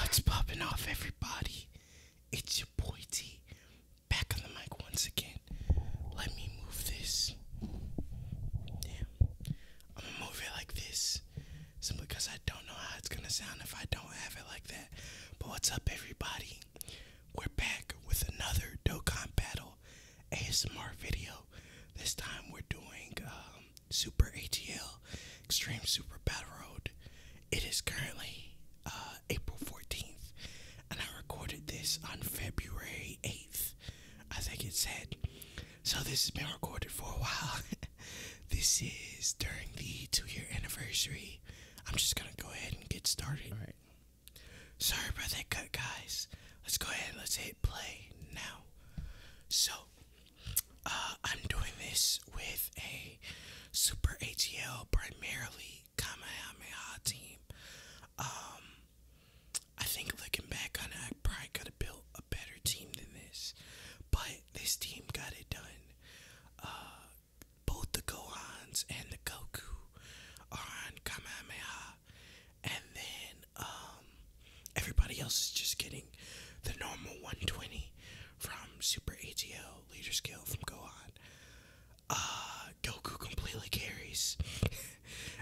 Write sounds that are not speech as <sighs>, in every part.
What's popping off, everybody? It's your boy T back on the mic once again. Let me move this. Damn. I'm gonna move it like this simply because I don't know how it's gonna sound if I don't have it like that. But what's up, everybody? We're back with another Dokkan battle ASMR video. This time we're doing um, Super ATL Extreme Super Battle Road. It is currently uh, April 14th, and I recorded this on February 8th. I think it said. So this has been recorded for a while. <laughs> this is during the two year anniversary. I'm just gonna go ahead and get started. All right. Sorry about that cut, guys. Let's go ahead. Let's hit play now. So, uh, I'm doing this with a Super ATL primarily Kamahameha team. Um, I think looking back on it, I probably could have built a better team than this, but this team got it done. Uh, both the Gohans and the Goku are on Kamahameha and then um, everybody else is just getting the normal 120 from Super ATO Leader Skill from Gohan. Uh, Goku completely carries, <laughs>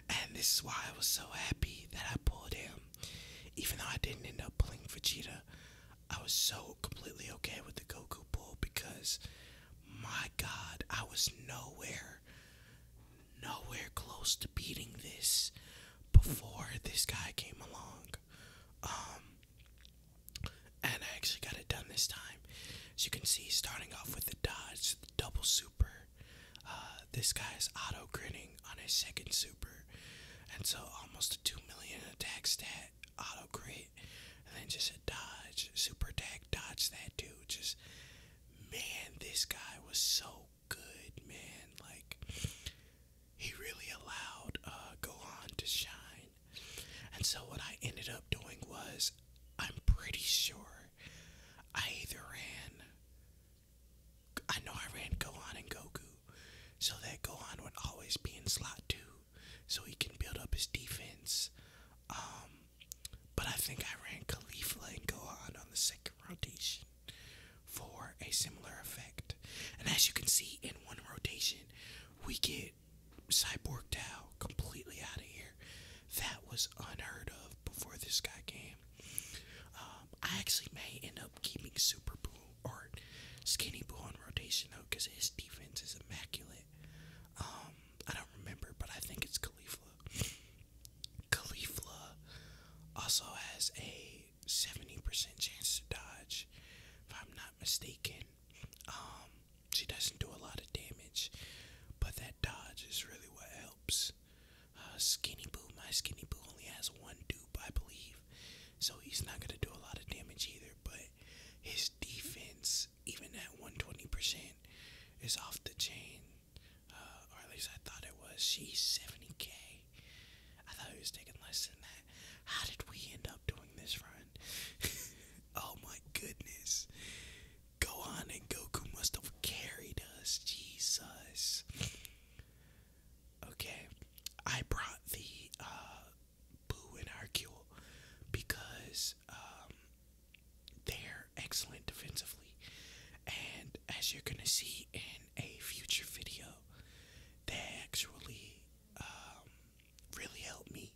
and this is why I was so happy that I pulled him, even though I didn't end up pulling Vegeta. I was so completely okay with the Goku pull because my god, I was nowhere nowhere close to beating this before this guy came along. Um, and I actually got it done this time. As you can see, starting off with the Dodge, the double super. Uh, this guy is auto grinning on his second super, and so almost a 2 million attack stat auto crit, and then just a dodge, super attack, dodge that dude, just man, this guy was so good, man. Like, he really allowed uh, Gohan to shine. And so, what I ended up doing was, I'm pretty sure I either ran. I know I ran Gohan and Goku so that Gohan would always be in slot 2 so he can build up his defense. Um, but I think I ran Khalifa and Gohan on the second rotation for a similar effect. And as you can see, in one rotation, we get Cyborg Tao completely out of here. That was unheard of before this guy came. Um, I actually may end up keeping Super Blue or Skinny Blue on rotation though, because his defense is immaculate it. Um, I don't remember, but I think it's Khalifa. Khalifa also has a 70% chance to dodge, if I'm not mistaken. Um, she doesn't do a lot of damage, but that dodge is really what helps. Uh, Skinny Boo, my Skinny Boo only has one dupe, I believe, so he's not going to do a lot of damage either, but his defense even at 120%, is off the chain. Uh, or at least I thought it was. She's 70k. I thought he was taking less than that. How did we end up doing this run? <laughs> oh my goodness. Gohan and Goku must have carried us. Jesus. Okay. I brought the uh, Boo and Hercule because um, they're excellent defensively. And as you're going to see in a future video, they actually um, really helped me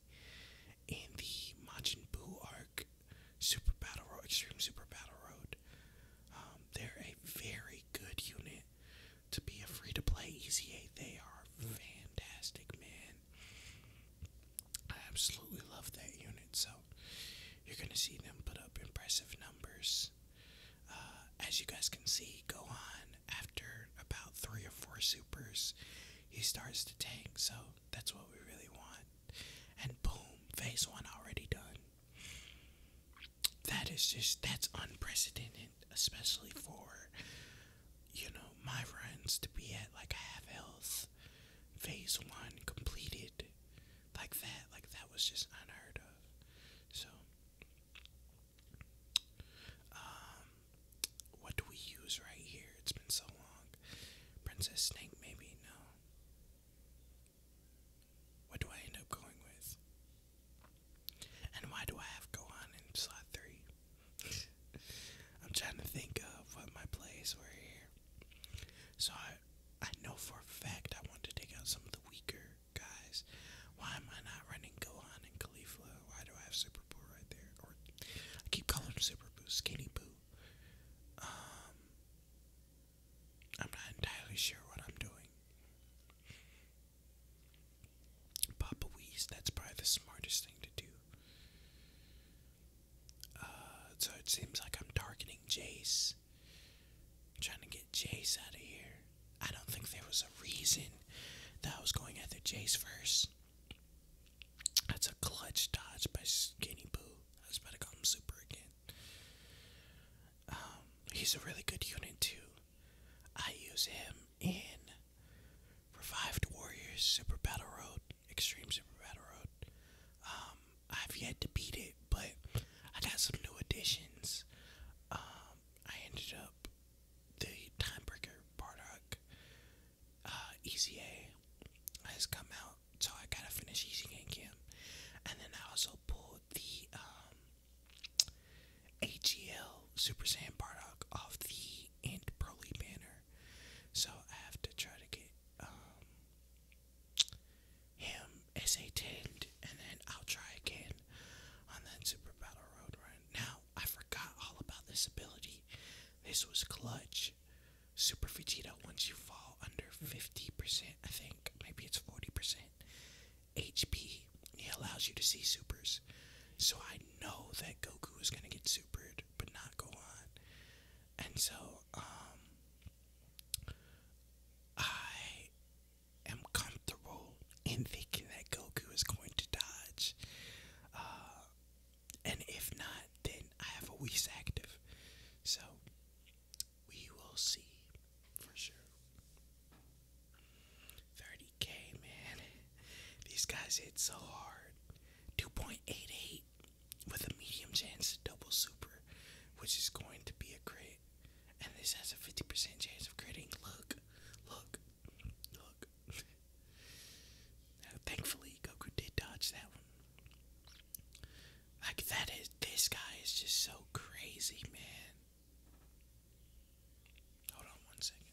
in the Majin Buu arc Super Battle Road, Extreme Super Battle Road. Um, they're a very good unit to be a free to play ECA. They are mm. fantastic, man. I absolutely love that unit, so you're gonna see them put up impressive numbers. Uh, as you guys can see, go on after about three or four supers, he starts to tank, so that's what we really want. And boom, phase one already done. That is just that's unprecedented, especially for you know, my runs to be at like half health, phase one completed, like that. Like that was just unheard of. So, um, what do we use right here? It's been so long. Princess Snake, maybe? No. What do I end up going with? And why do I have Gohan in slot 3? I'm trying to think of what my plays were here. So I, I know for a fact I want to take out some of the weaker guys. Why am I not running Gohan and Khalifa? Why do I have Super Boo right there? Or I keep calling him Super Boo, Skinny Boo. Um, I'm not entirely sure what I'm doing. Papa Weez, that's probably the smartest thing to do. Uh, so it seems like I'm targeting Jace. trying to get Jace out of here. I don't think there was a reason that I was going after Jace first. That's a clutch dodge by Skinny Boo. I was about to call him Super again. Um, he's a really good unit too. I use him in Revived Warriors Super Battle Road. Extreme Super Battle Road. Um, I've yet to beat it, but I got some new additions. Um, I ended up the Timebreaker Bardock uh, ECA has come out, so I gotta finish Easy Game Camp. And then I also pulled the um, AGL Super Saiyan Bardock off the End Broly banner. So I have to try to get um, him as a tent, and then I'll try again on that Super Battle Road run. Now, I forgot all about this ability. This was clutch. Super Vegeta, once you fall under 50%, I think, maybe it's 40%, HP, he allows you to see supers. So I know that Goku is going to get supered but not go on. And so, um, I am comfortable in thinking that Goku is going to dodge. Uh, and if not, then I have a Whis active. So, we will see for sure. 30 30k, man. These guys hit so hard. 2.88 with a medium chance to double super, which is going to be a crit. And this has a 50% chance of critting. Look, look, look. now, thankfully, Goku did dodge that one. Like, that is, this guy is just so crazy, man. Hold on one second.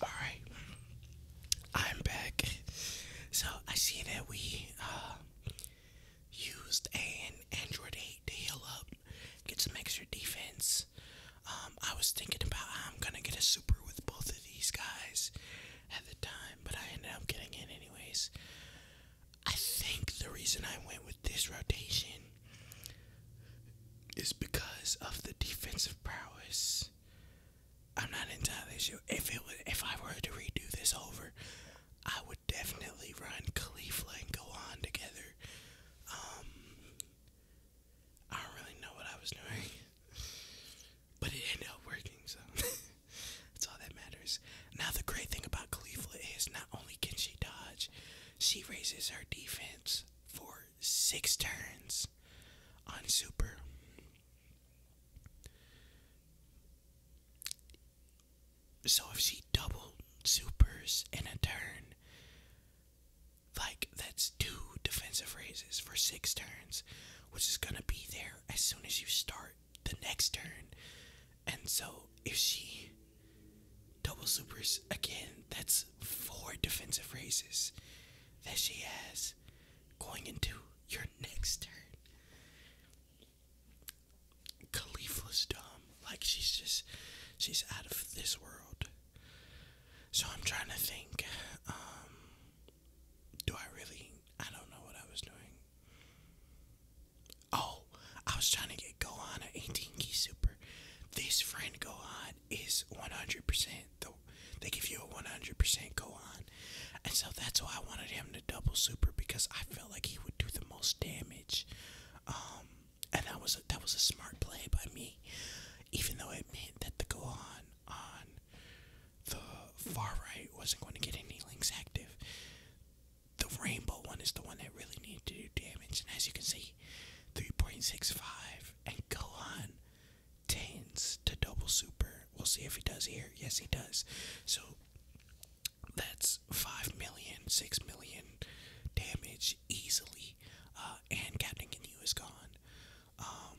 All right, I'm back. So I see that we uh, used an Android 8 to heal up, get some extra defense. Um, I was thinking about how I'm gonna get a super with both of these guys at the time, but I ended up getting it anyways. I think the reason I went with this rotation is because of the defensive prowess. I'm not entirely sure. If it was, if I were to redo this over, I would definitely run Khalifa and on together. Um, I don't really know what I was doing, <laughs> but it ended up working. So <laughs> that's all that matters. Now the great thing about Khalifa is not only can she dodge, she raises her defense for six turns on Super. So if she doubled supers in a turn, like that's two defensive raises for six turns, which is gonna be there as soon as you start the next turn. And so if she double supers again, that's four defensive raises that she has going into your next turn. Khalifa's dumb. Like she's just she's out of this world. So I'm trying to think, um do I really I don't know what I was doing. Oh, I was trying to get go on at 18 key super. This friend go on is 100%. The, they give you a 100% koan. And so that's why I wanted him to double super because I felt like he would do the most damage. Um, and that was, a, that was a smart play by me. Even though it meant that the koan on the far right wasn't going to get any links active. The rainbow one is the one that really needed to do damage. And as you can see, 3.65 Hey, go to double super. We'll see if he does here. Yes, he does. So that's 5 million, 6 million damage easily. Uh, and Captain Ginyu is gone. Um,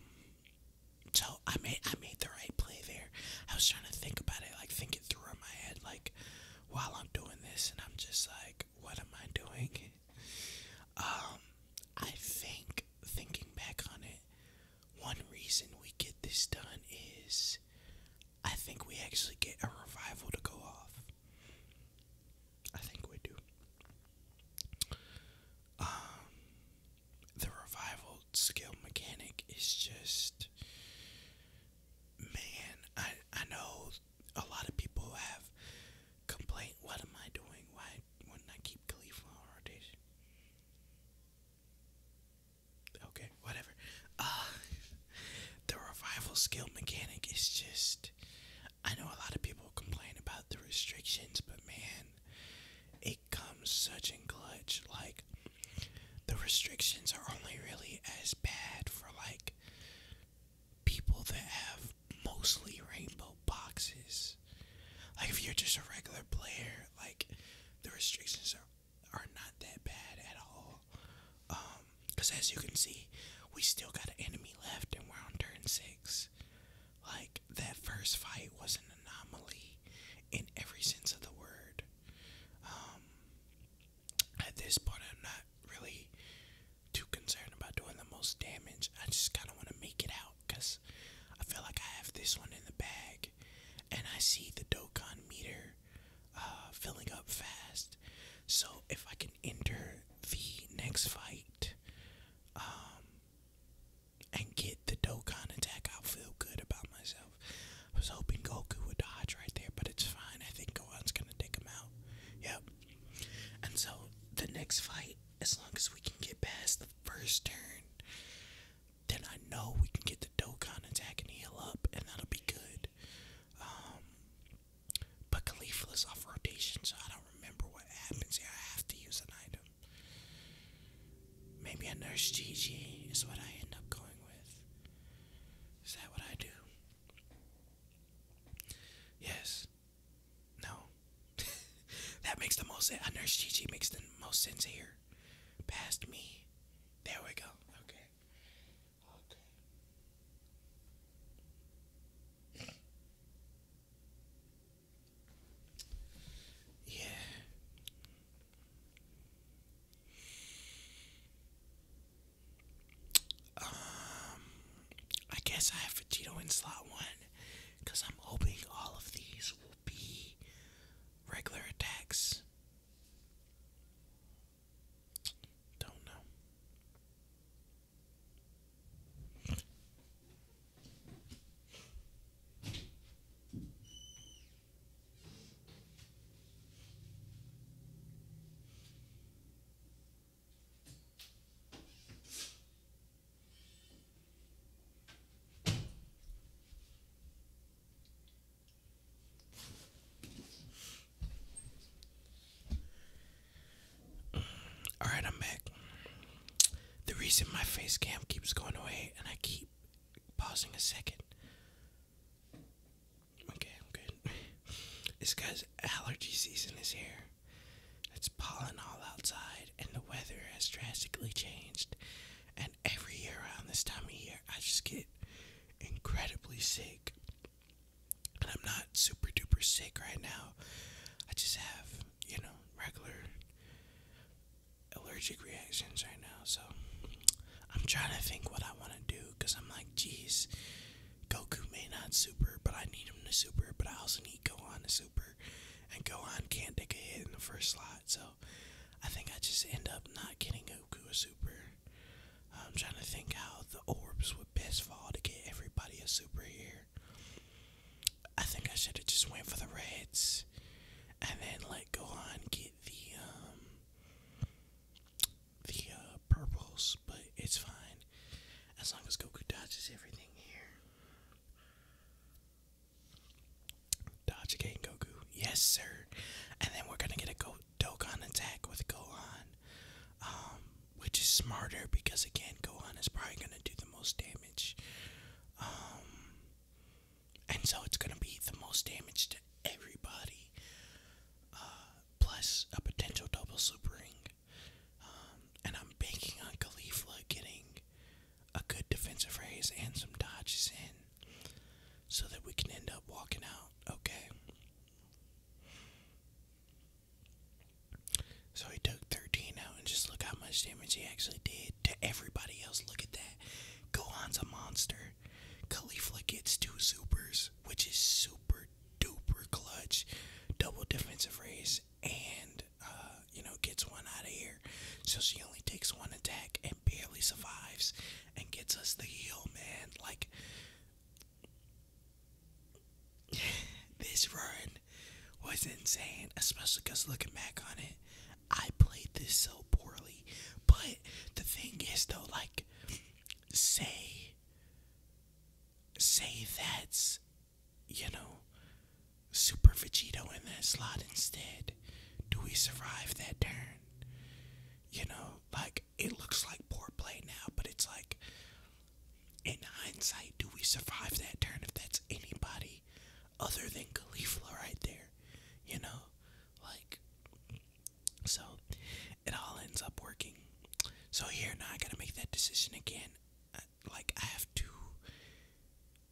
so I made I made the right play there. I was trying to think about it, like think it through in my head, like while I'm doing this, and I'm just like, what am I doing? Um, I think thinking back on it, one reason we get this done is I think we actually get a revival to go off. I think we do. Um, the revival skill mechanic is just man. I I know a lot of people have complained, what am I doing? Why wouldn't I keep Khalifa on rotation? Okay, whatever. Uh, <laughs> the revival skill mechanic is just. I know a lot of people complain about the restrictions, but man, it comes such in clutch. Like, the restrictions are only really as bad for, like, people that have mostly rainbow boxes. Like if you're just a regular player, like the restrictions are are not that bad at all. Um, cause as you can see, we still got an enemy left, and we're on turn six. Like that first fight was an anomaly in every sense of the word. Um, at this point, I'm not really too concerned about doing the most damage. I just kind of want to make it out because I feel like I have this one in the bag. And I see the Dokkan meter uh, filling up fast. So if I can enter the next fight um, and get the Dokkan attack, I'll feel good about myself. I was hoping Goku would dodge right there, but it's fine. I think Gohan's going to take him out. Yep, and so the next fight, as long as we can get past the first turn, then I know we can get the Dokkan attack and heal up, and that'll be good. Um, but Khalifa's off rotation, so I don't remember what happens I have to use an item. Maybe a Nurse Gigi is what I end up going with. Is that what I do? Yes. No. <laughs> that makes the most Nurse Gigi makes the most sense here. Past me. There we go. Okay. Okay. Yeah. Um, I guess I have Vegito in slot one because I'm hoping all of these will be regular attacks. Don't know. All right, I'm back. The reason my face cam keeps going away and I keep pausing a second Okay, I'm good. <laughs> this allergy season is here. It's pollen all outside, and the weather has drastically changed. And every year around this time of year, I just get incredibly sick. And I'm not super duper sick right now. I just have, you know, regular allergic reactions right now. So I'm trying to think what I want to do because I'm like, jeez. Goku may not super, but I need him to super, but I also need Gohan to super. And Gohan can't take a hit in the first slot, so I think I just end up not getting Goku a super. I'm trying to think how the orbs would best fall to get everybody a super here. I think I should have just went for the reds and then let Gohan get the um the uh, purples but it's fine. As long as Goku dodges everything here. Dodge again, Goku. Yes, sir. And then we're gonna get a Go Dokkan attack with Gohan. Um, which is smarter because again Gohan is probably gonna do the most damage. Um, and so it's gonna be the most damage to everybody. Uh, plus a potential double super ring. Um, and I'm banking on Khalifa getting a good defensive raise and some dodges in so that we can end up walking out okay. So he took 13 out, and just look how much damage he actually did to everybody else. Look at that. Gohan's a monster. Khalifa gets two supers, which is super duper clutch double defensive raise and uh, you know gets one out of here. So she only takes one attack and barely survives and gets us the heal, man. Like <sighs> this run was insane, especially because looking back on it, I played this so poorly. But the thing is, though, like, say say that's, you know, Super Vegito in that slot instead? Do we survive that turn? You know, like, it looks like poor play now, but it's like, in hindsight, do we survive that turn if that's anybody other than Khalifa right there? You know? Like, so it all ends up working. So here now I gotta make that decision again. like I have to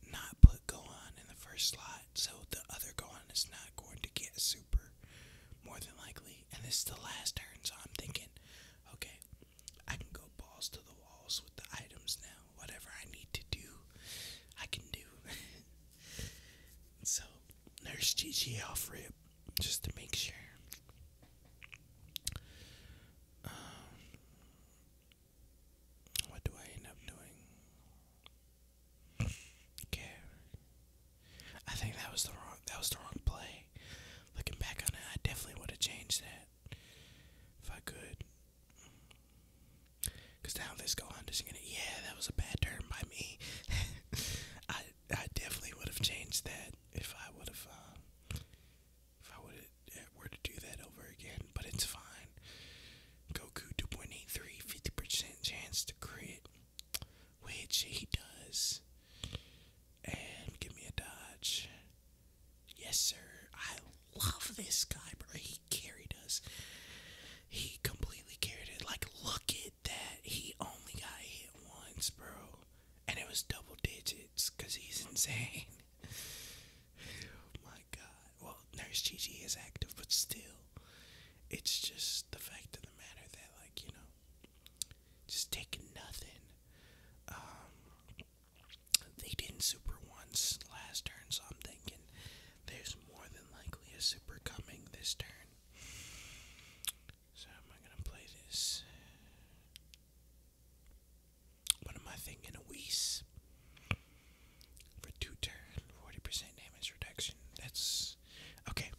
not put go on in the first slot, so the other go on is not going to get super more than likely. And this is the last turn, so I'm thinking, okay, I can go balls to the walls with the items now. Whatever I need to do, I can do. <laughs> so there's GG off rip just to make sure. Um, what do I end up doing? Okay. I think that was the wrong that was the wrong play. Looking back on it, I definitely would have changed that if I could. Cause now this go on just going yeah, that was a bad turn by me. <laughs> I I definitely would have changed that if I would have uh, if I would have were to do that over again. But it's fine. Goku 2.83, 50% chance to crit, which he does. And give me a dodge. Yes, sir. I love this guy, bro. He carried us. He completely carried it. Like, look at that. He only got hit once, bro. And it was double digits because he's insane. <laughs> my god. Well, Nurse Gigi is active, but still. It's just the fact of the matter that, like, you know, just taking nothing. Um, they didn't super once last turn, so I'm thinking there's more than likely a super coming this turn. So am I gonna play this? What am I thinking? A Whis for two turn, forty percent damage reduction. That's okay.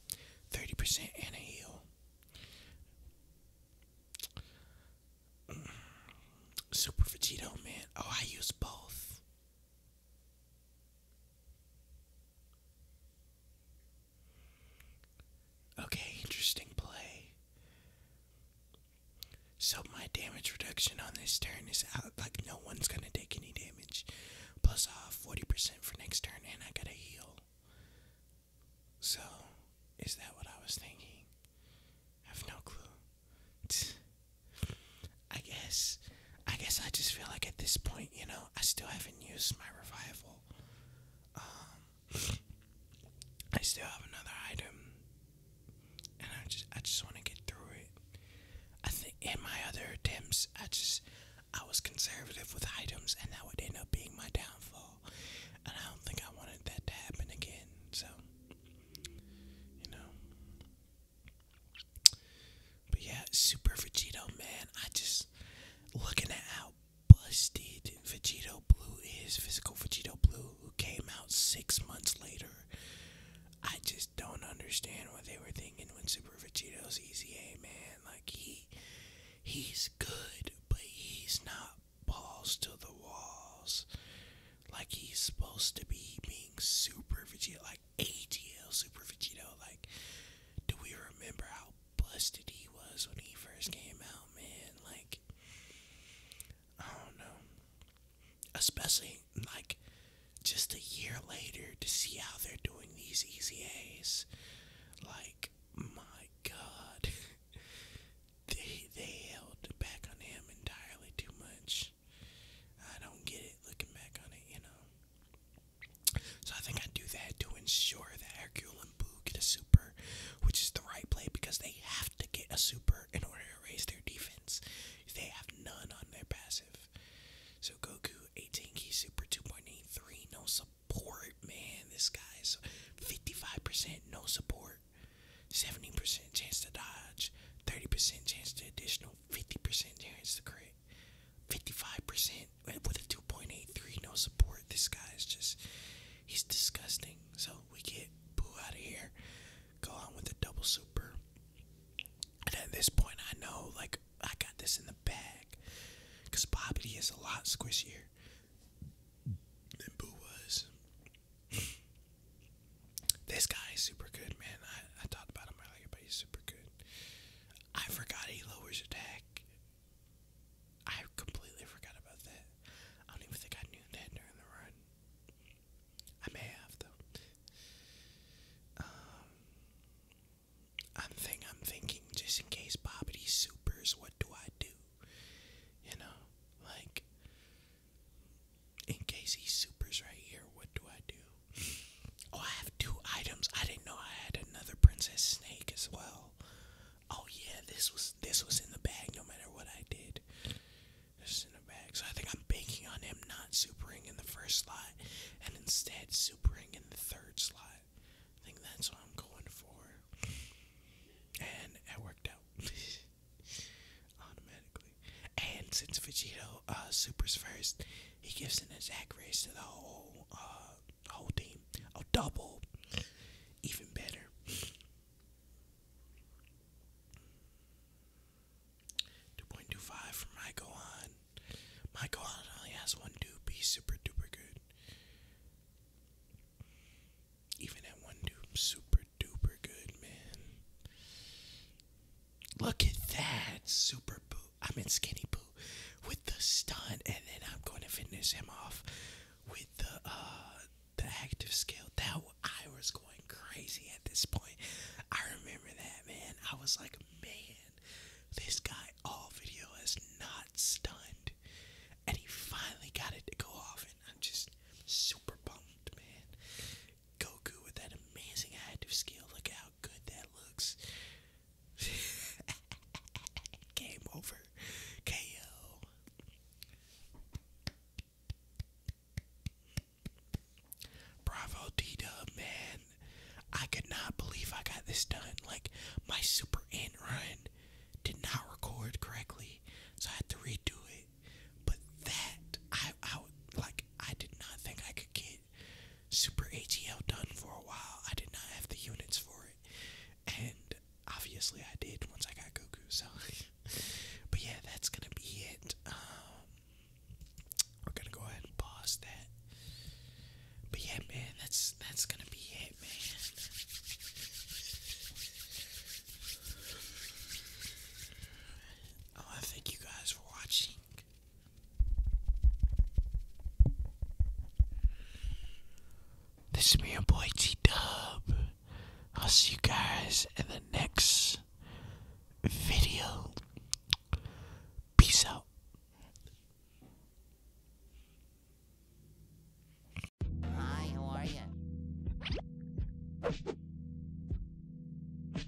Thirty percent and a heal. Super Vegito, man. Oh, I use both. Okay, interesting play. So my damage reduction on this turn is out like no one's gonna take any damage. Plus uh, off 40% for next turn and I gotta heal. So is that what I was thinking? have no clue. I guess. I guess I just feel like at this point, you know, I still haven't used my revival. Um, I still have another item, and I just I just want to get through it. I think in my other attempts, I just I was conservative with items, and that would end up being my downfall. And I don't think I wanted that to happen again. So, you know, but yeah, Super Vegeto, man. I just looking at how busted Vegeto Blue is, physical Vegeto Blue, who came out six months later. I just don't understand what they were thinking when Super Vegito's EZA, man. Like he he's good, but he's not balls to the walls. Like he's supposed to be being super Vegeto, like. ATL Super Vegito. Like, do we remember how busted he was when he first came out, man? Like, I don't know. Especially, like, just a year later to see how they're doing these EZAs. Like, my god. <laughs> they, they held back on him entirely too much. I don't get it looking back on it, you know. So I think I do that to ensure that Hercule and Boo get a super, which is the right play because they have to get a super in order to raise their defense. They have none on their passive. So Goku, 18 key super, 2.83, no support. Man, this guy is 55% no support, 70% chance to dodge, 30% chance to additional, 50% chance to crit. 55% with a 2.83, no support. This guy is just, he's disgusting. So we get Boo out of here, go on with the double super. And at this point, I know, like, I got this in the bag. Because Bobby is a lot squishier than Boo was. this guy is super good, man. I, I talked about him earlier, but he's super good. I forgot he lowers attack. I completely forgot about that. I don't even think I knew that during the run. I may have though. Um, I'm think I'm thinking just in case Bobby supers, what do I do? You know, like in case he supers right here, what do I do? Oh, I have two items. I didn't know I had another princess snake as well. Oh yeah, this was this was in the bag no matter what I did. This is in the bag. So I think I'm banking on him not supering in the first slot and instead supering in the third slot. I think that's what I'm going for. And it worked out <laughs> automatically. And since Vegeto uh, supers first, he gives an exact raise to the whole uh, whole team. A double, even better. Two point two five for my Gohan. My Gohan only has one dupe. super duper good. Even at one dupe, super duper good, man. Look at that. Super boot! I am in Skinny boot with the stun. And then I'm going to finish him off with the, uh, the active skill. That I was going crazy at this point. I remember that, man. I was like, man, this guy all video has not stunned. And he finally got it to go off. And I'm just super bummed, man. Goku with that amazing active skill. Look how good that looks. <laughs> Game over. KO. Bravo D man. I could not believe I got this done. Like, my Super Ant run did not record correctly, so I had to redo it. But that, I, I like, I did not think I could get Super ATL done for a while. I did not have the units for it, and obviously I did once I got Goku. So, <laughs> but yeah, that's gonna be it. Um, we're gonna go ahead and pause that. But yeah, man, that's that's gonna be it, man. Oh, I thank you guys for watching. This is me, your boy T Dub. I'll see you guys in the next video. Peace out. Hi, how are you?